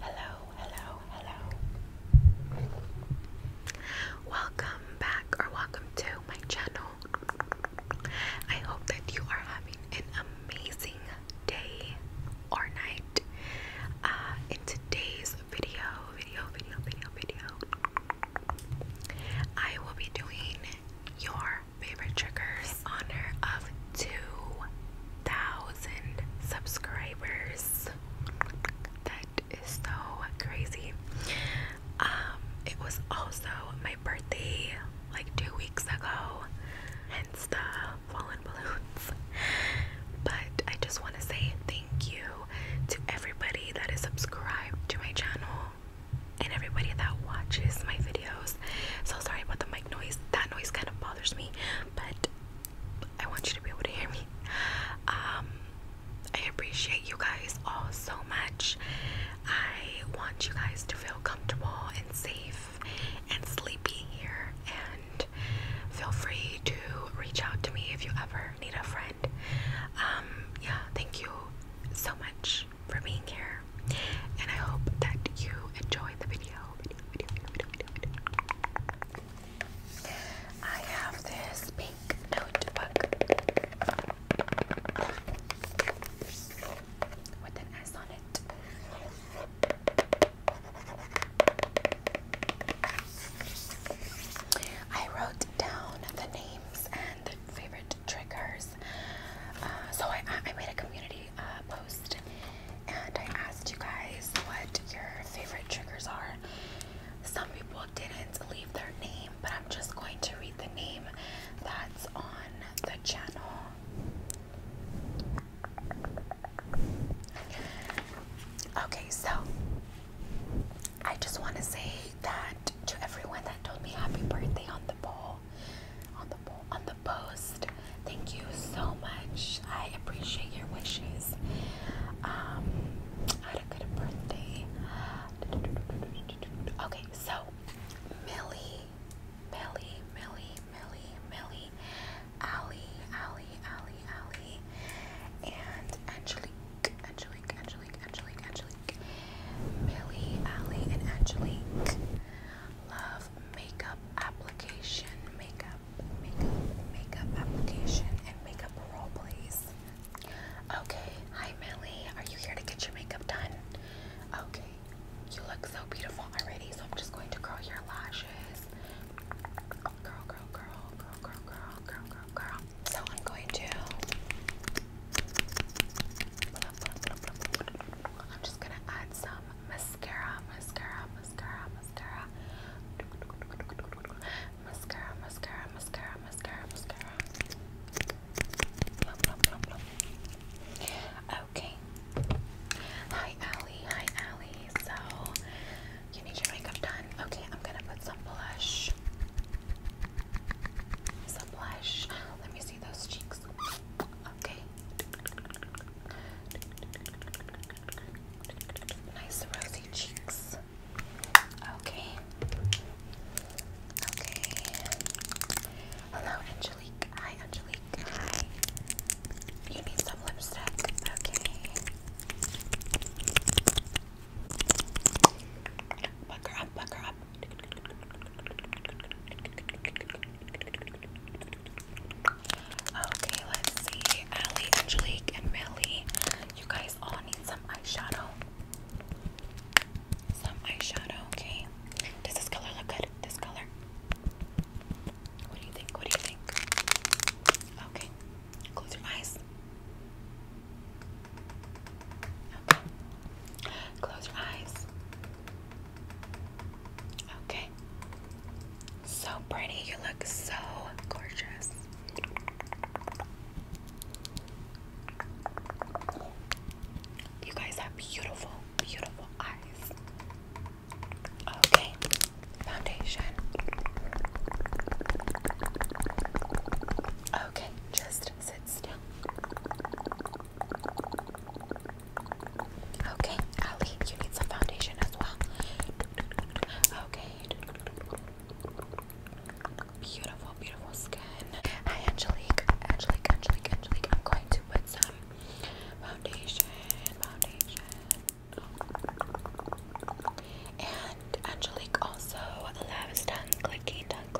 Hello, hello, hello. Welcome back or welcome to my channel. I hope that you are having an amazing day or night. Uh, in today's video, video, video, video, video, I will be doing your favorite triggers on of 2,000 subscribers. That is so crazy. Um, it was also my birthday like two weeks ago, hence the fallen balloons. But I just want to say thank you to everybody that is subscribed to my channel and everybody that watches my videos. So sorry about the mic noise. That noise kind of bothers me, but I want you to be able to hear me. Um, I appreciate you guys all so much. I want you guys to feel comfortable and safe and sleepy here. And feel free to reach out to me if you ever need a friend. Um, yeah, thank you so much for being here. And I hope that you enjoyed the video. I have this pink notebook with an S on it. I wrote down the names and favorite triggers. Uh, so I, I made a community uh, post and I asked you guys what your favorite triggers are. Some people didn't leave their name, but I'm just going to read the name that's on the channel. Okay, so I just want to say that to everyone that told me happy birthday on the poll, on the post. Thank you so much. I appreciate your wishes. Um, a good birthday. Okay, so Millie, Millie, Millie, Millie, Millie, Allie, Allie, Allie, Allie, and Angelique, Angelique, Angelique, Angelique, Angelique. Angelique. Millie, and Angelique. Love makeup application, makeup, makeup, makeup application, and makeup role plays. Okay, hi Millie. Are you here to get your makeup done? Okay, you look so beautiful already, so I'm just going to curl your lashes. Girl, girl, girl, girl, girl, girl, girl, girl, girl. So I'm going to I'm just gonna add some mascara, mascara, mascara, mascara, mascara, mascara, mascara, mascara, mascara. Okay. Hi Ali. hi Ali. So you need your makeup done. Okay, I'm gonna put some blush. Some blush. Let me see those cheeks. Okay. Nice rosy cheeks. Okay. Okay. Hello, Angelique. Hi, Angelique. Hi. You need some lipstick. Okay. Buck her up, buck her up. Okay, let's see. Allie, Angelique, and Millie. You guys all need some eyeshadow. Some eyeshadow, okay? Does this color look good? This color? What do you think? What do you think? Okay. Close your eyes. Okay. Close your eyes. Okay. So pretty. You look so gorgeous. You guys have beautiful, beautiful eyes. Okay. Foundation. Okay, just sit still. Okay, Ali, you need some foundation as well. Okay. Beautiful, beautiful skin. Hi, Angelique. Angelique, Angelique, Angelique. I'm going to put some foundation, foundation. And Angelique also loves tongue clicking, tongue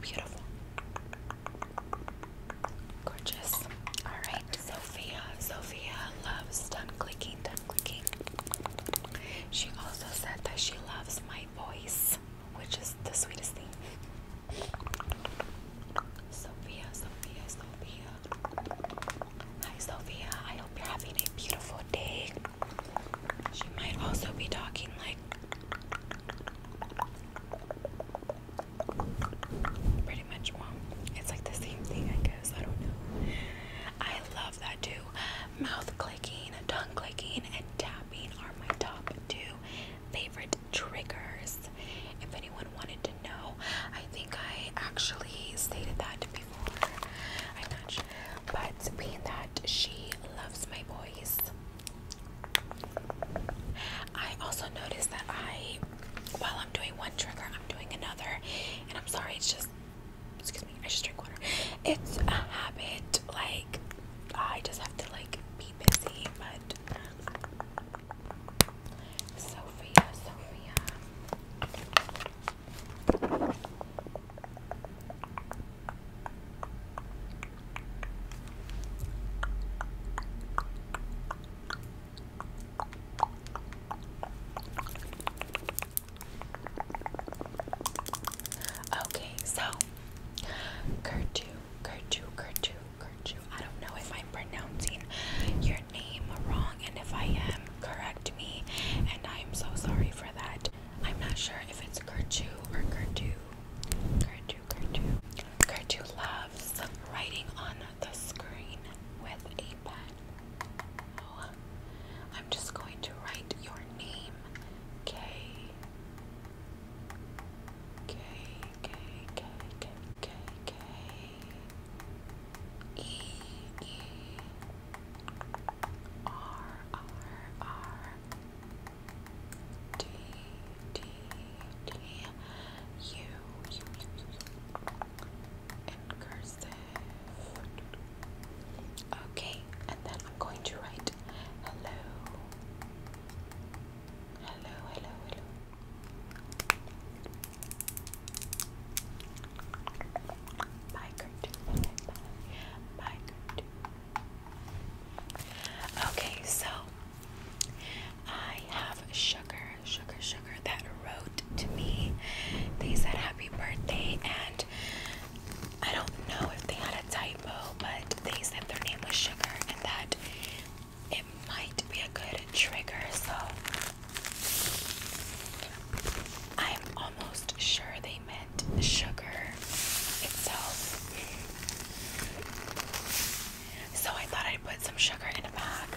Beautiful. Gorgeous. Alright, Sophia. Sophia loves tongue clicking, tongue clicking. She also said that she loves my voice, which is the sweetest thing. Sophia, Sophia, Sophia. Hi, Sophia. I hope you're having a beautiful day. She might also be talking like pretty much It's like the same thing, I guess. I don't know. I love that too. Mouth clicking, tongue clicking, and tapping are my top two favorite triggers. If anyone wanted to know, I think I actually stated that to be I'm not sure. But being that she loves my boys, I also noticed that I, while I'm doing one trigger, I'm doing another. And I'm sorry, it's just, excuse me, I just drink water. It's a habit. Like, I just have to, like, be busy. But, Sophia, Sophia. Okay, so Gertu, Gertu, Gertu, Gertu. I don't know if I'm pronouncing your name wrong, and if I am, correct me. And I'm so sorry for that. I'm not sure if it's Gertu or Gertu. Gertu, Gertu. Gertu loves writing on the screen with a pen. Oh, I'm just going to write your name. K. K, K, K, K, K, K. E, E, R R R D D D U U U in cursive. Okay, and then I'm going to write hello. Hello, hello, hello. Bye, Gertrude. Bye, bye, Okay, so I have sugar, sugar, sugar that wrote to me. They said happy birthday, and I don't know if they had a typo, but they said their name was Sugar, and that it might be a good trigger. So I'm almost sure they meant sugar itself. So I thought I'd put some sugar in a bag.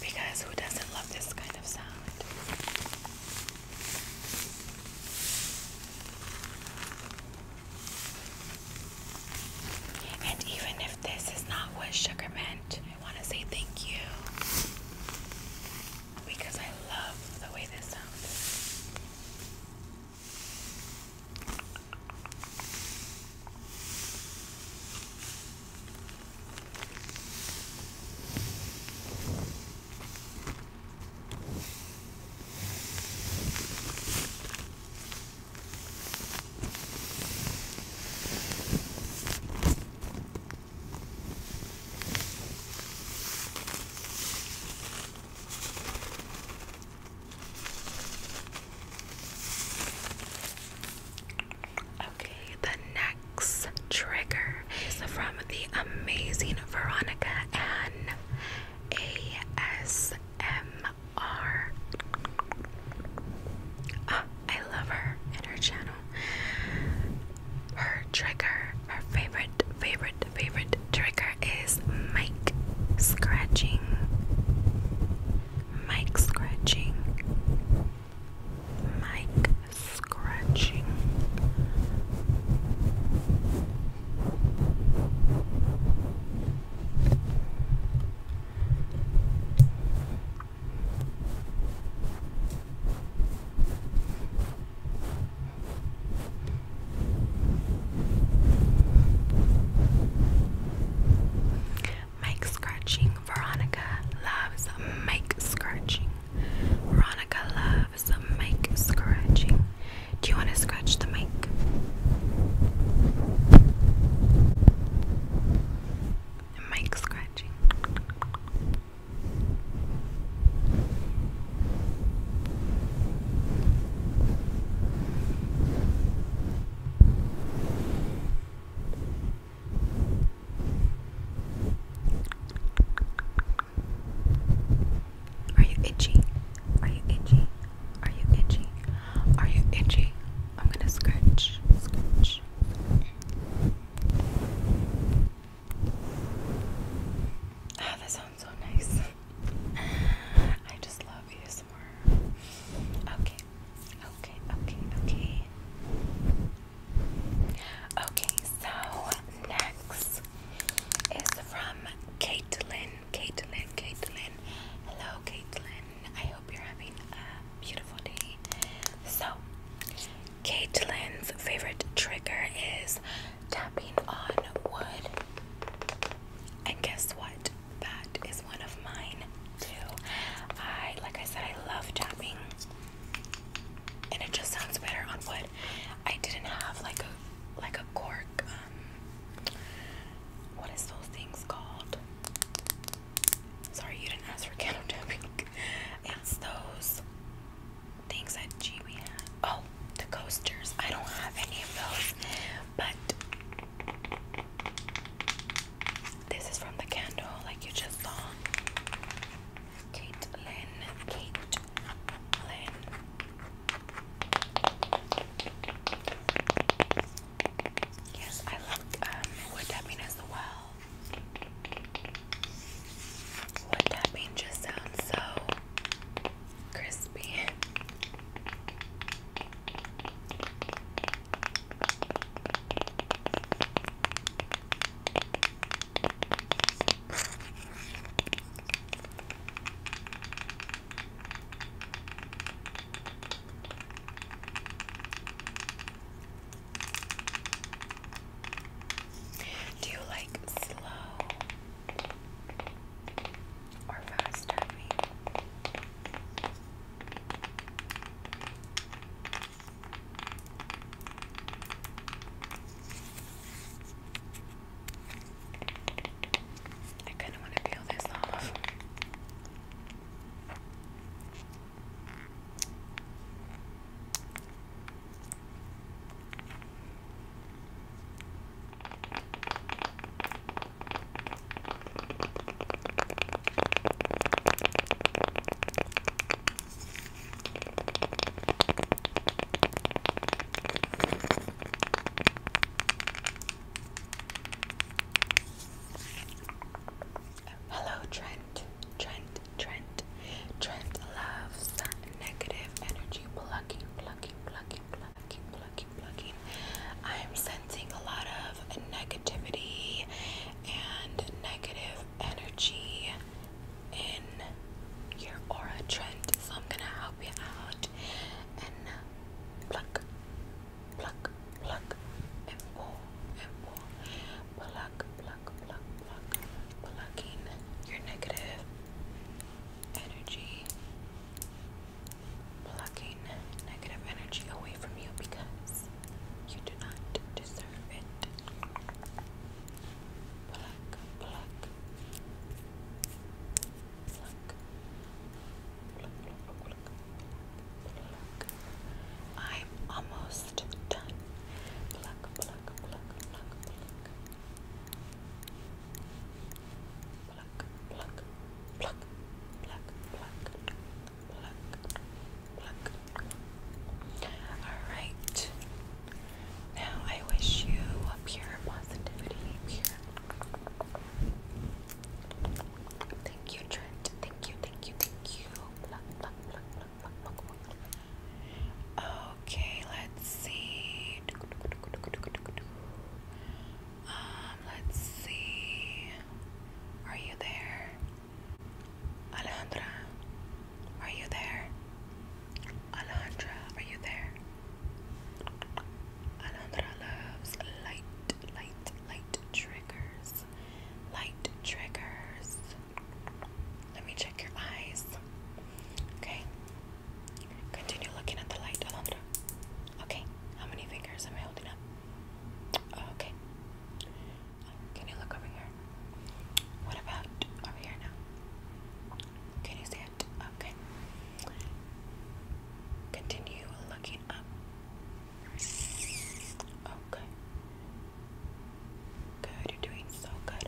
Because who doesn't love this kind of sound? And even if this is not what sugar meant, I want to say thank you because I love the way this sounds. Okay, the next trigger is from the amazing Veronica Ann ASM. R. Ah, I love her and her channel. Her trigger, her favorite, favorite, favorite trigger is mic scratching. Mic scratching. Mic scratching. Mike scratching. Veronica loves Mike scratching. Veronica loves Mike scratching. Do you want to scratch the mic? like. scratching. Are you itchy? Are you itchy? Are you itchy? Are you itchy? I'm gonna scratch, scratch. Ah, that sounds so nice. I just love you more. Okay, okay, okay, okay. Okay, so next is from Caitlin. Caitlin, Caitlin. Hello, Caitlin. I hope you're having a beautiful day. So, Caitlyn's favorite trigger is tapping on wood. And guess what? That is one of mine too. I, like I said, I love tapping. And it just sounds better on wood. I didn't have like a like a cork um, what is those things called? Sorry, you didn't ask for candle dipping. It's those things that G.B. had. Oh, the coasters. I don't have any of those, but this is from the candle, like you just saw. Caitlin, Caitlin, Yes, I love um, what tapping as well. What tapping just sounds so crispy. Do you like slow or fast I kind of want to peel this off. Hello, Trent. Trent, Trent. Trent loves negative energy plucking, plucking, plucking, plucking, plucking, plucking. I'm sensing a lot of negativity and negative energy in your aura, Trent. So I'm gonna help you out uh, pluck, pluck, pluck, and pull, and pull. Pluck, pluck, pluck, pluck. Plucking your negative energy. Plucking negative energy away from you because you do not deserve it. Pluck, pluck. Pluck, I'm almost done. Pluck, pluck, pluck, pluck, pluck. Pluck, pluck, pluck, pluck, pluck, pluck, pluck. Alright. Now I wish you a pure positivity, pure Thank you, Trent. Thank you, thank you, thank you. Okay, let's see. Um, let's see. Are you there? Alejandra, are you there? Alondra, are you there? Alondra loves light, light, light triggers. Light triggers. Let me check your eyes. Okay. Continue looking at the light, Alondra. Okay. How many fingers am I holding up? Okay. Can you over here? What about over here now? Can you see it? Okay. Continue looking up. Okay. Good, you're doing so good.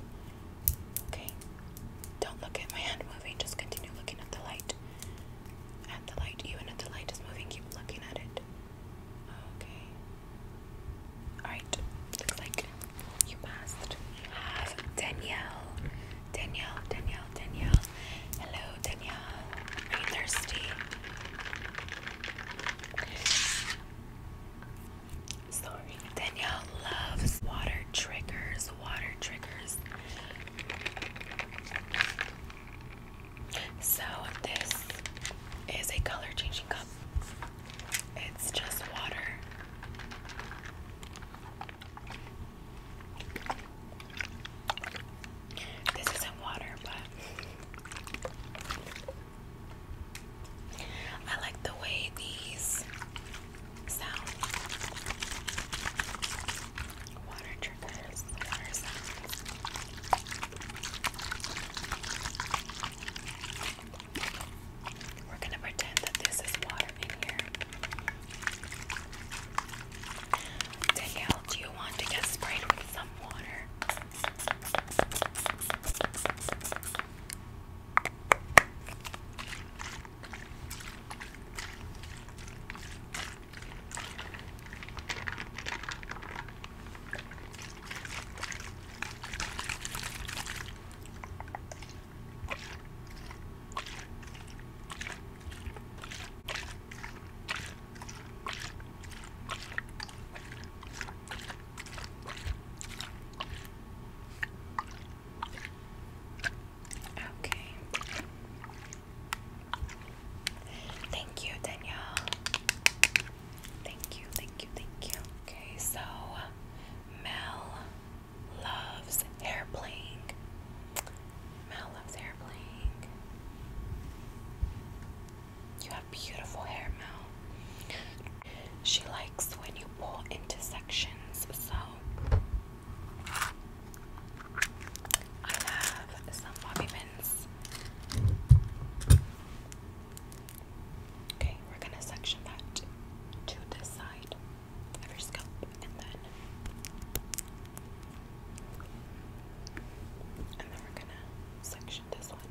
Okay. Don't look at my hand moving, just continue looking at the light. At the light, even if the light is moving, keep looking at it. Okay. Alright, looks like you must have Danielle. Danielle, Danielle, Danielle. Hello, Danielle. Are you thirsty? Sorry. Danielle loves water triggers, water triggers. So, this is a color changing cup. It's just water. This isn't water, but I like the way these sound. Water triggers, we're going to pretend that this is water in here. Danielle, do you want to get sprayed with some water? Okay. Thank you, Danielle. Thank you, thank you, thank you. Okay, so Mel loves hair playing. Mel loves hair You have beautiful hair, Mel. She likes when you pull into sections, so I have some bobby pins. Okay, we're gonna section that to this side of your scalp and then and then we're gonna section this one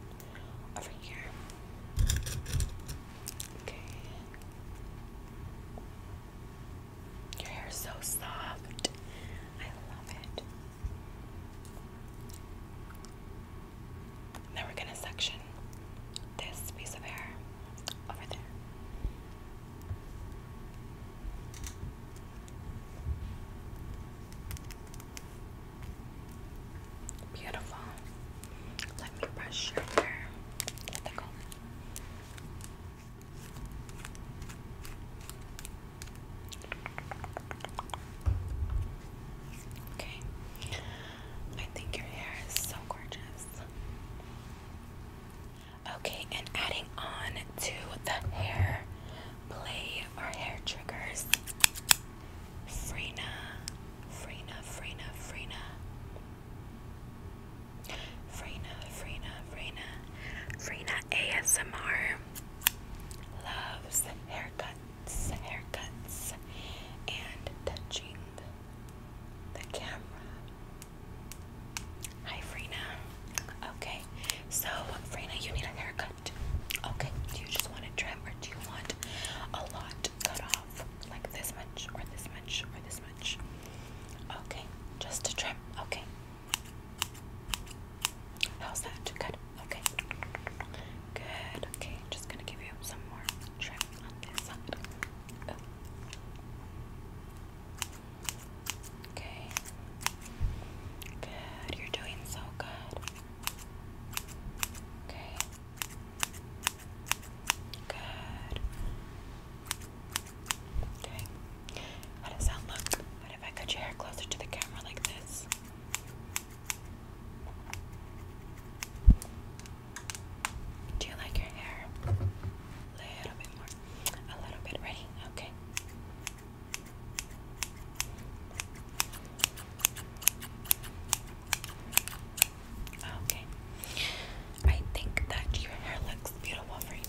over here. Okay. Your hair is so soft. I love it. Now we're going to section this piece of hair over there. Beautiful. Let me brush your hair Okay. I think your hair is so gorgeous. Okay, and adding on to the hair play or hair triggers. Freena, Freena, Freena, Freena. Freena, Freena, Freena. Freena ASMR loves haircuts haircuts, and touching the camera. Hi, Frina. Okay, so Frina, you need a haircut. Okay, do you just want a trim or do you want a lot cut off? Like this much, or this much, or this much? Okay, just a trim. Okay. How's that? Good. Okay. Good. Okay, just gonna give you some more Okay. Good. You're doing so good. Okay. Good. Okay. How does that look? What if I cut your hair closer to the camera like this? Do you like your hair? A little bit more. A little bit. Ready? Okay. Okay. I think that your hair looks beautiful right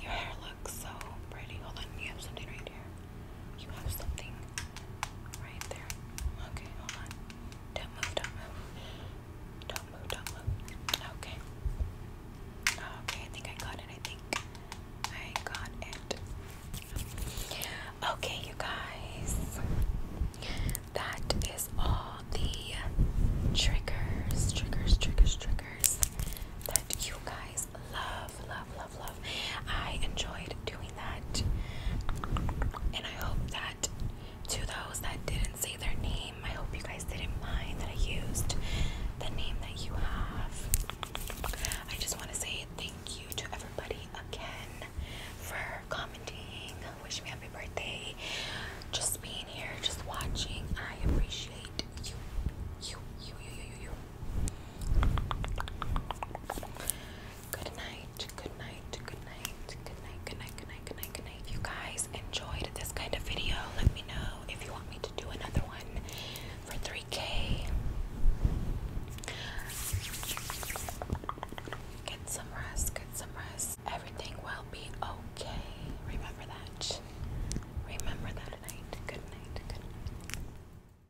Your hair looks so pretty. Hold on, you have something right here. You have something right there. Okay, hold on. Don't move, don't move. Don't move, don't move. Okay. Okay, I think I got it. I think I got it. Okay, you guys. That is all the triggers, triggers, triggers, triggers that you guys love love, love, love, I enjoyed doing that. And I hope that to those that didn't say their name, I hope you guys didn't mind that I used the name that you have. I just want to say thank you to everybody again for commenting, wishing me happy birthday, just being here, just watching. I appreciate you, you, you, you, you, you, you. Good night. Good night. Good night. Good night. Good night. Good night. Good night. Good night. If you guys enjoyed this kind of video, let me know if you want me to do another one for 3K. Get some rest. Get some rest. Everything will be okay. Remember that. Remember that tonight. Good night. Good night.